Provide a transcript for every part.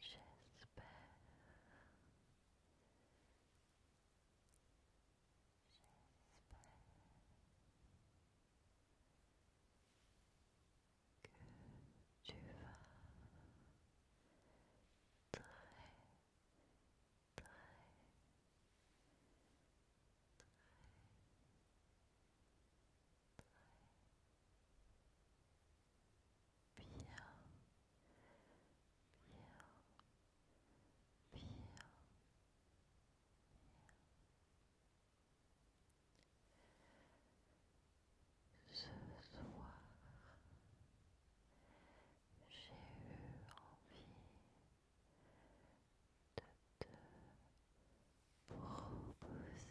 J'espère. J'espère que tu vas très, bien, bien, bien, Ce soir, j'ai eu envie de te proposer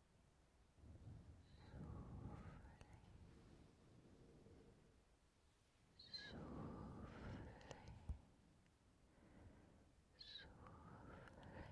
Soufflez, soufflez, soufflez. Je sais que par moments.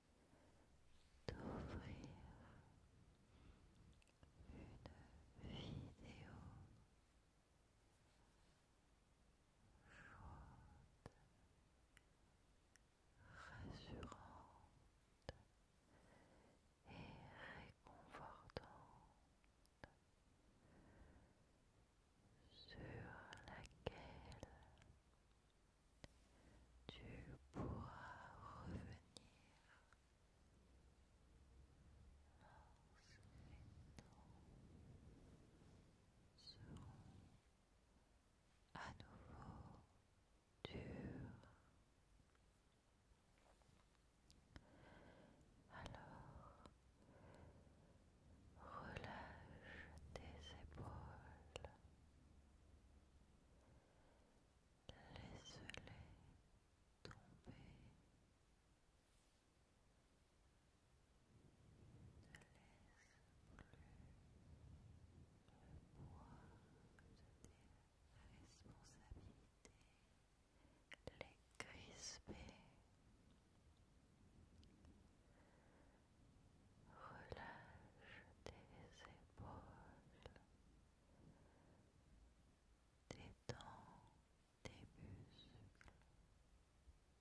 d'ouvrir une vidéo chaude, rassurante et réconfortante sur laquelle tu pourras revenir lorsque à nouveau dur. Alors, relâche tes épaules. Laisse-les tomber. Ne laisse plus le poids de tes responsabilités les crisper relâche tes épaules, détends tes muscles. Tu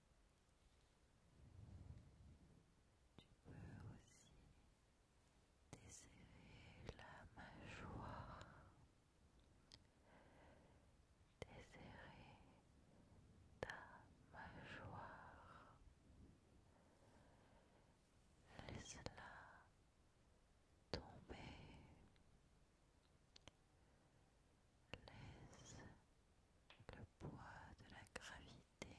peux aussi desserrer la mâchoire, desserrer ta mâchoire. Laisse-la tomber. Laisse le poids de la gravité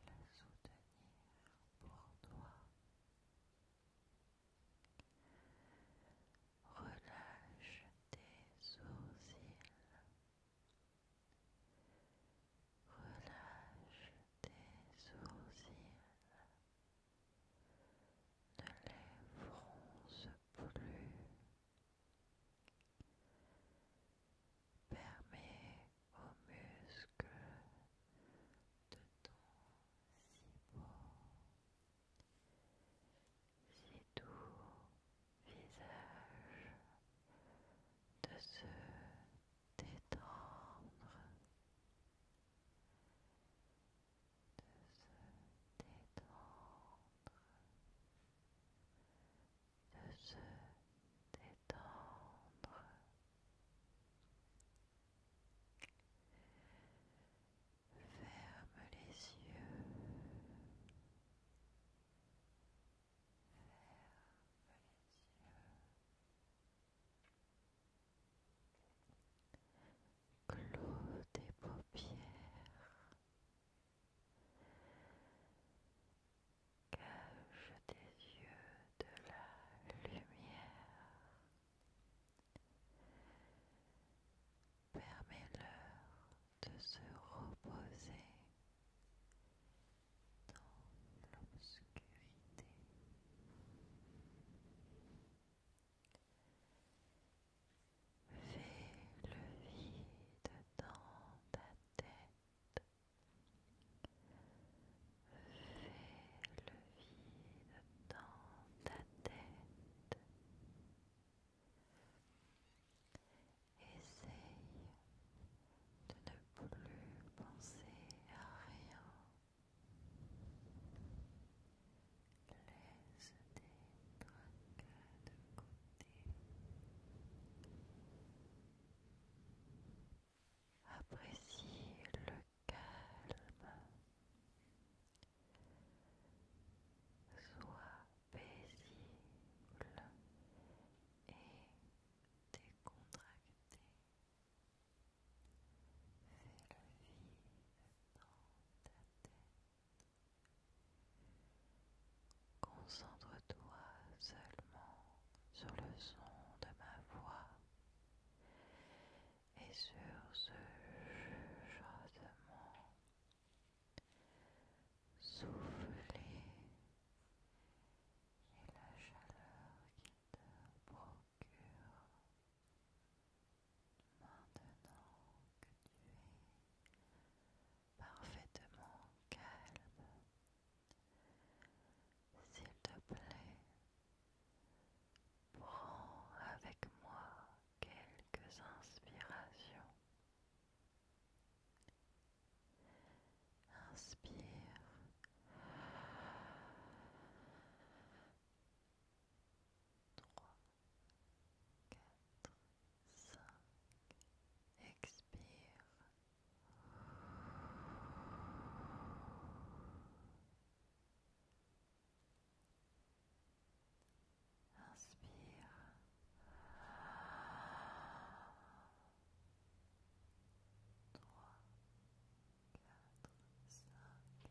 la soutenir pour toi. Relâche tes sourcils. Relâche tes sourcils. Ne les fronce plus. Permet aux muscles de ton si beau, si doux visage de se détendre, de se détendre, de se détendre. Ferme les yeux. Clos des paupières, cache des yeux de la lumière, permets-leur de se reposer dans l'obscurité. Fais le vide dans ta tête. Fais le vide dans ta tête. Essaye de ne plus penser à rien. Laisse tes tracas de côté. Apprécie le calme. Sois paisible et décontracté. Fais le vide dans ta tête. Concentre-toi seulement sur le son de ma voix et sur ce chuchotement Soufflez et la chaleur qu'il te procure maintenant que tu es parfaitement calme. S'il te plaît, prends avec moi quelques inspirations. Inspire. Trois, quatre, cinq. Expire. Inspire. Trois, quatre, cinq.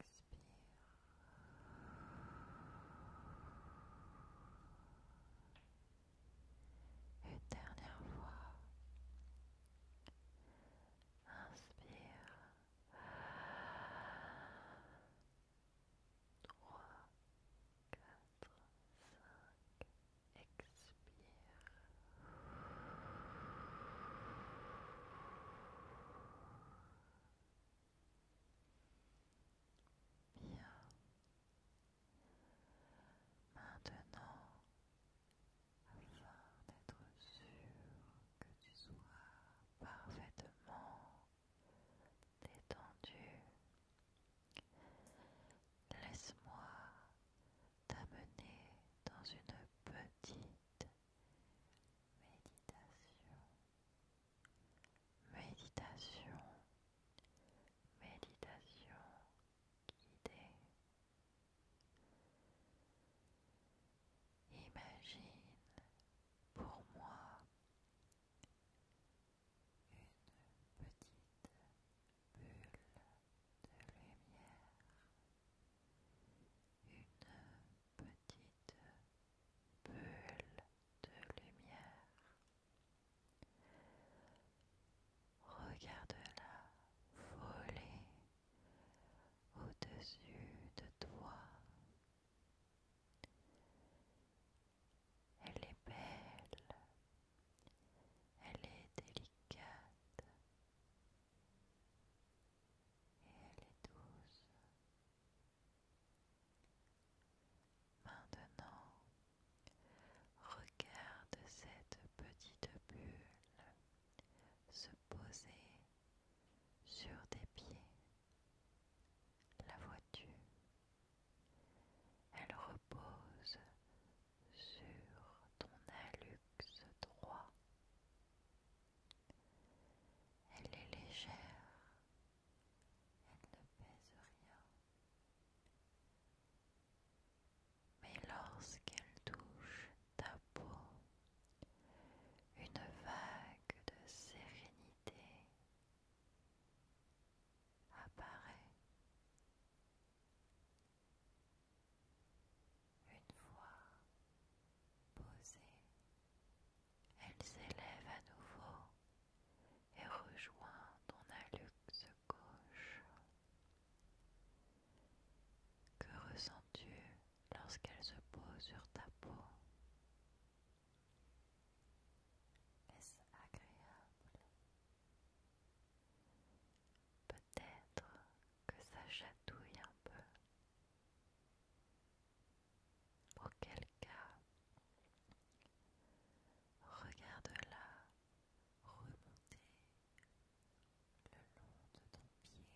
Expire. Une dernière fois. Inspire. 3, 4, 5, expire. Bien. Maintenant, afin d'être sûr que tu sois parfaitement détendu. Laisse-moi t'amener dans une petite méditation. Méditation. Méditation guidée. Imagine pour moi une petite bulle de lumière, une petite bulle de lumière. Regarde-la voler au-dessus de toi elle est belle, elle est délicate et elle est douce. Maintenant, regarde cette petite bulle se poser sur tes pieds. La voiture, elle repose sur ton allux droit. Elle est légère, elle ne pèse rien. Mais lorsqu'elle touche ta peau, une vague de sérénité apparaît une fois posée, elle s'élève à nouveau et rejoint ton alluxe gauche. Que ressens-tu lorsqu'elle se pose sur ta peau est-ce agréable Peut-être que ça chatouille un peu. Auquel cas, regarde-la remonter le long de ton pied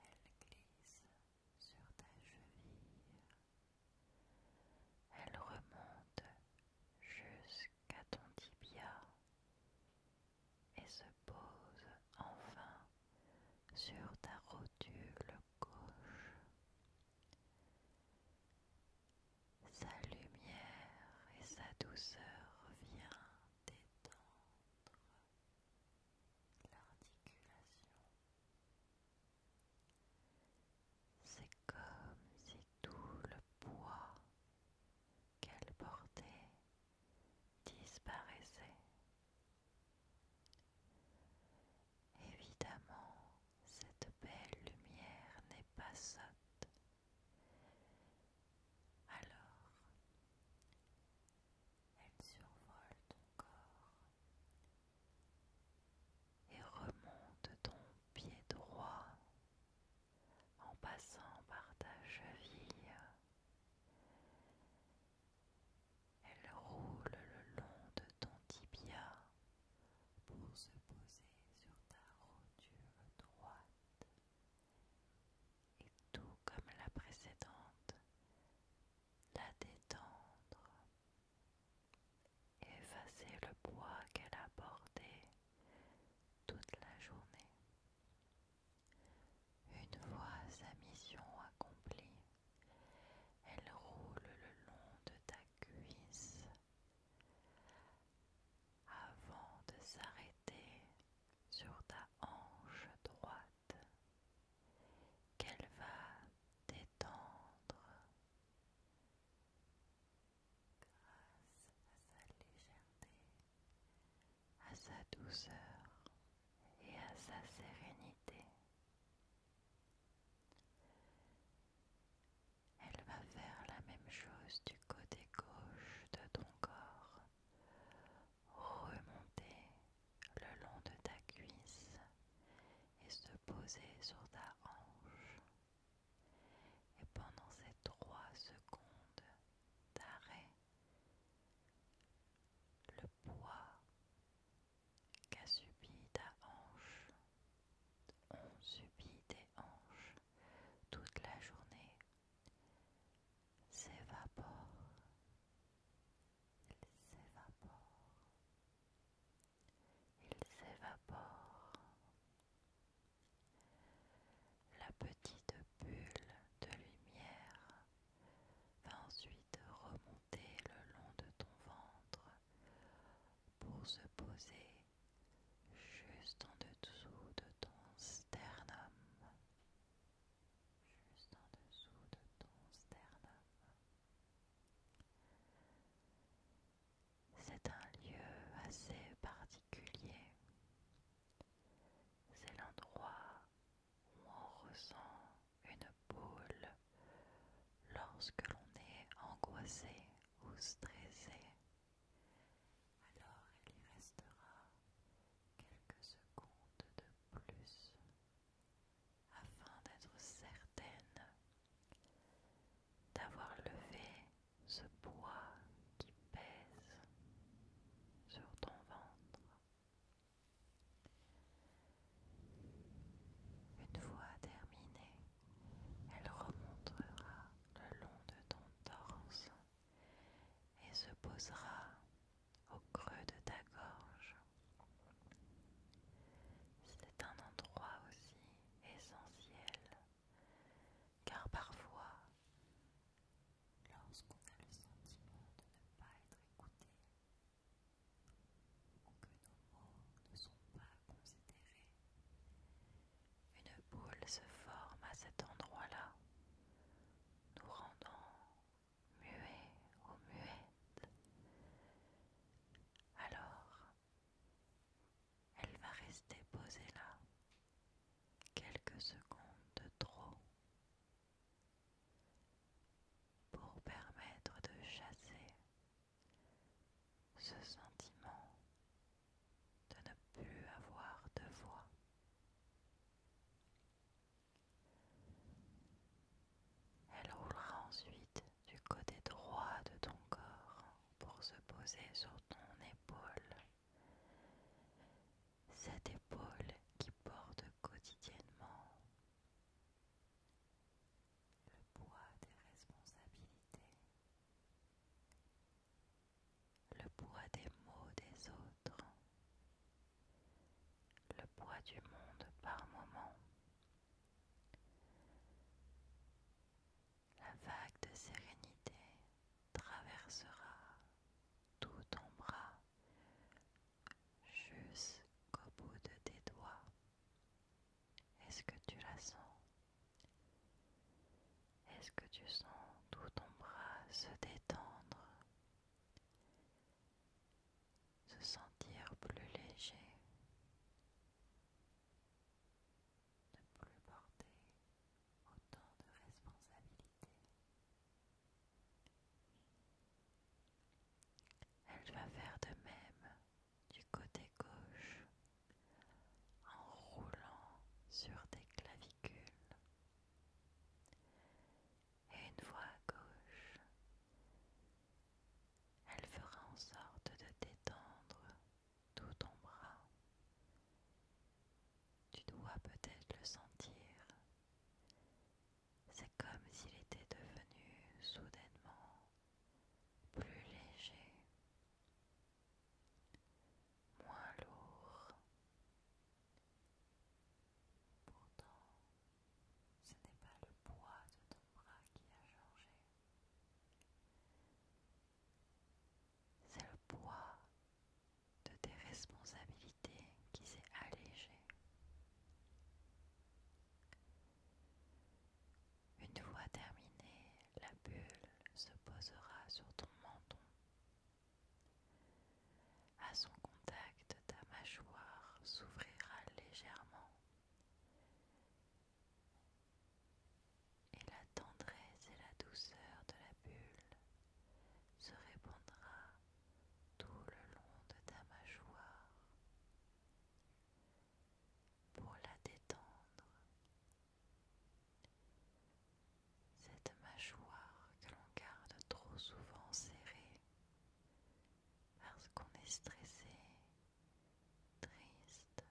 elle glisse sur ta cheville. Elle remonte jusqu'à ton tibia et se pose enfin sur ta rotule gauche. Sa lumière et sa douceur vient détendre l'articulation. C'est comme si tout le poids qu'elle portait disparaissait. Évidemment, cette belle lumière n'est pas sotte. Alors, elle survole ton corps et remonte ton pied droit en passant par ta cheville. Elle roule le long de ton tibia pour se poser sur ta rotule droite et tout comme la précédente, la détendre, effacer le poids qu'elle a porté toute la journée. Une fois sa mission accomplie, elle roule le long de ta cuisse avant de s'arrêter sur ta hanche droite qu'elle va détendre grâce à sa légèreté, à sa douceur et à sa sérénité. Elle va faire la même chose du côté gauche de ton corps remonter le long de ta cuisse et se poser sur ta hanche. Et pendant ces trois secondes d'arrêt, le poids qu'a subi ta hanche, ont subi des hanches toute la journée s'évapore, il s'évapore, il s'évapore. La petite bulle de lumière va ensuite remonter le long de ton ventre pour se poser juste en dessous de ton sternum juste en dessous de ton sternum. C'est un lieu assez particulier. C'est l'endroit où on ressent une boule lorsque l'on est angoissé ou stressé alors il y restera quelques secondes de plus afin d'être certaine d'avoir levé ce poids qui pèse sur ton ventre. Une fois terminée, elle remontera le long de ton torse et se posera au creux de ta gorge. C'est un endroit aussi essentiel car parfois, lorsqu'on a le sentiment de ne pas être écouté ou que nos mots ne sont pas considérés, une boule se forme à cet endroit-là nous rendons muets ou muettes, alors elle va rester posée là quelques secondes de trop pour permettre de chasser ce sentiment de ne plus avoir de voix. Elle roulera ensuite du côté droit de ton corps pour se poser sur ton épaule. Cette épaule qui porte quotidiennement le poids des responsabilités, le poids des mots des autres, le poids du monde par moment, la vague de sérénité traversera tout ton bras jusqu'au bout de tes doigts. Est-ce que tu la sens est-ce que tu sens tout ton bras se détendre, se sentir plus léger, ne plus porter autant de responsabilités Elle va faire de même du côté gauche en roulant sur tes clavicules et une voix à gauche, elle fera en sorte de détendre tout ton bras. Tu dois peut-être le sentir. C'est comme s'il était devenu soudainement plus léger moins lourd. Pourtant, ce n'est pas le poids de ton bras qui a changé, c'est le poids de tes responsabilités qui s'est allégé. Une fois terminée, la bulle se posera sur ton menton à son contact, ta mâchoire s'ouvrira légèrement et la tendresse et la douceur de la bulle se répandra tout le long de ta mâchoire. Pour la détendre, cette mâchoire que l'on garde trop souvent serrée parce qu'on est stressé, triste,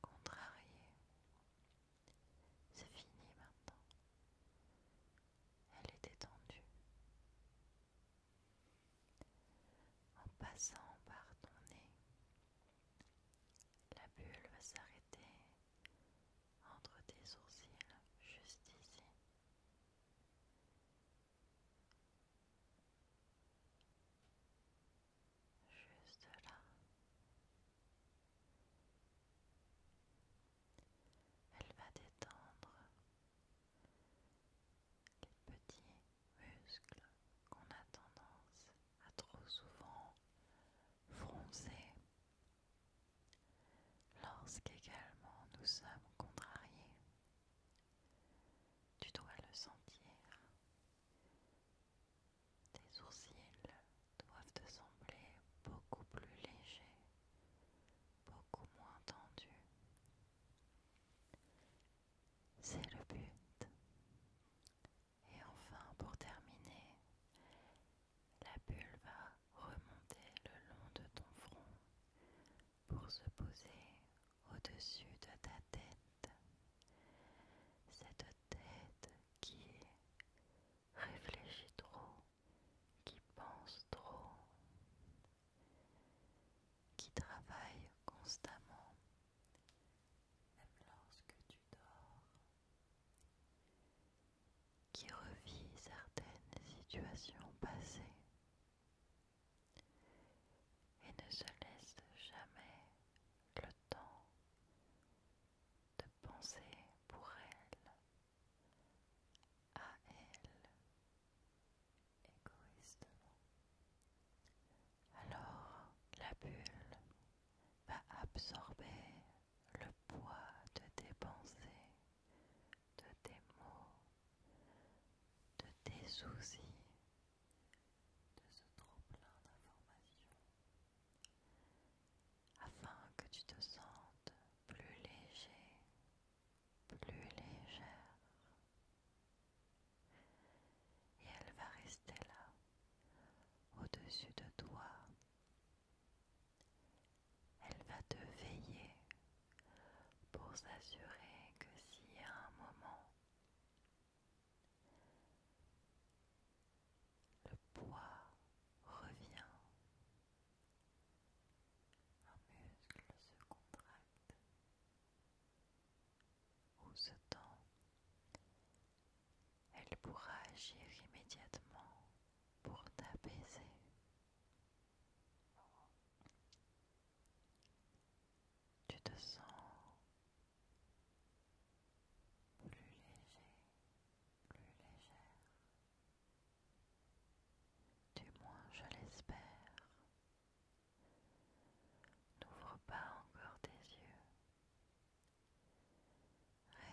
contrarié. C'est fini maintenant. Elle est détendue. En passant par ton nez, la bulle va s'arrêter entre tes sourcils juste ici. Juste là. Elle va détendre les petits muscles qu'on a tendance à trop souvent froncer, lorsqu'également nous sommes contrariés, tu dois le sentir. Tes sourcils doivent te sembler beaucoup plus légers, beaucoup moins tendus. C'est le but. Et enfin, pour terminer, la bulle va remonter le long de ton front pour se poser au-dessus de ta tête. Cette tête qui réfléchit trop, qui pense trop, qui travaille constamment. Même lorsque tu dors, qui revit certaines situations passées et ne se laisse jamais le temps de penser pour elle, à elle, égoïstement. Alors la bulle va absorber le poids de tes pensées, de tes mots, de tes soucis, de ce trop-plein d'informations, afin que tu te sentes plus léger, plus légère. Et elle va rester là au-dessus de toi. Elle va te veiller pour s'assurer que si à un moment, le poids revient, un muscle se contracte, où, ce temps, elle pourra agir immédiatement pour t'apaiser. Tu te sens plus léger, plus légère. Du moins, je l'espère. N'ouvre pas encore tes yeux.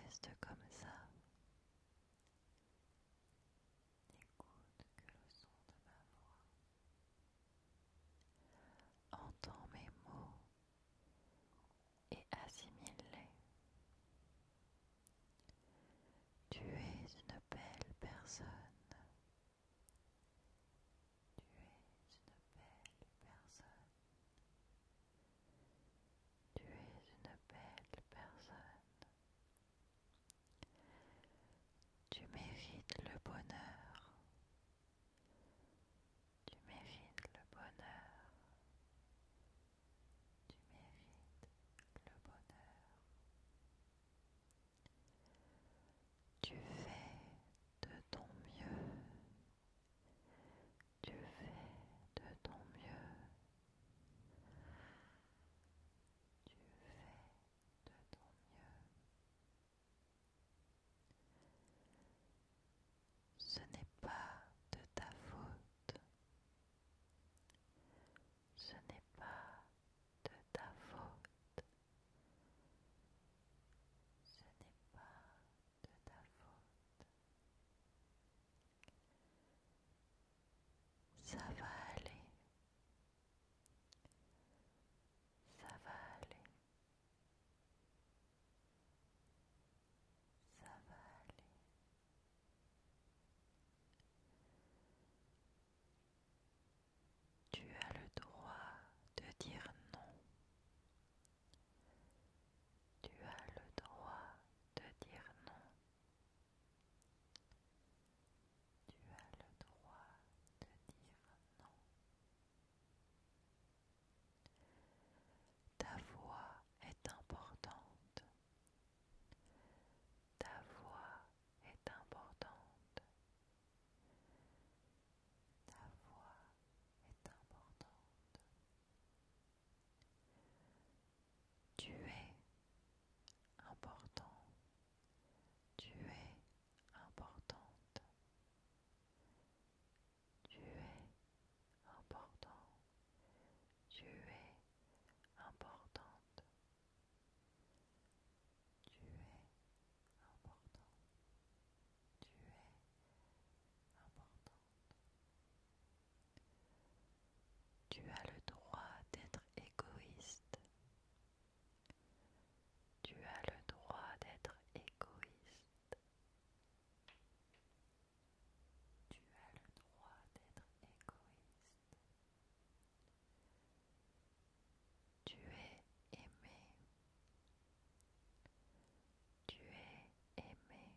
Reste comme ça. N'écoute que le son de ma voix. Entends mes mots et assimile-les. Tu es une belle personne. Tu es une belle personne. Tu es une belle personne. Tu mérites le bonheur. Tu mérites le bonheur. Tu mérites le bonheur. Tu fais de ton mieux. Tu fais de ton mieux. Tu fais de ton mieux. Ce n'est pas de ta faute. Ce n'est pas de ta faute. Ce n'est pas de ta faute. Ça va aller. Ça va aller. Ça va aller. Tu as le droit de dire non. Tu as le droit de dire non. Tu as le droit de dire non. Ta voix est importante. Ta voix est importante. Ta voix est importante. Tu es important. Tu es importante. Tu es important. Tu es importante. Tu es important tu Tu as le droit d'être égoïste. Tu as le droit d'être égoïste. Tu as le droit d'être égoïste. Tu es aimé. Tu es aimé. Tu es aimé. aimé.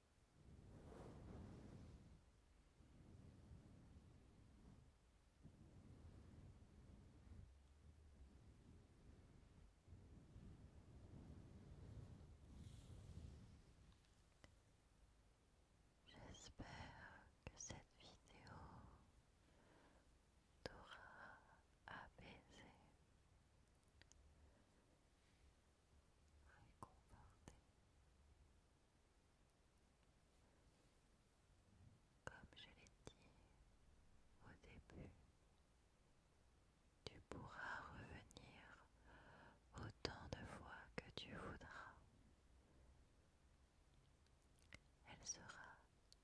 J'espère que cette vidéo t'aura apaisé comme je l'ai dit au début, tu pourras revenir autant de fois que tu voudras. Elle sera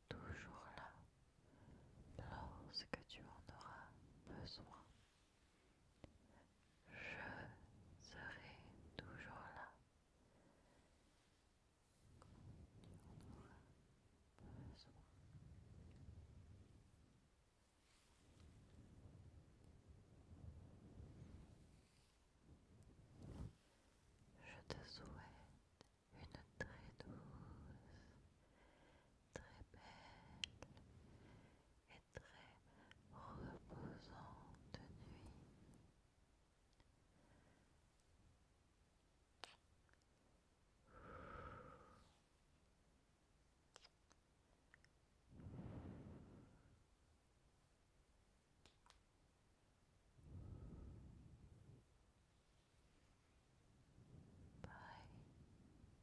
toujours là lorsque tu en auras besoin. Je serai toujours là. Je te souhaite une très douce, très belle très reposante nuit. Bye.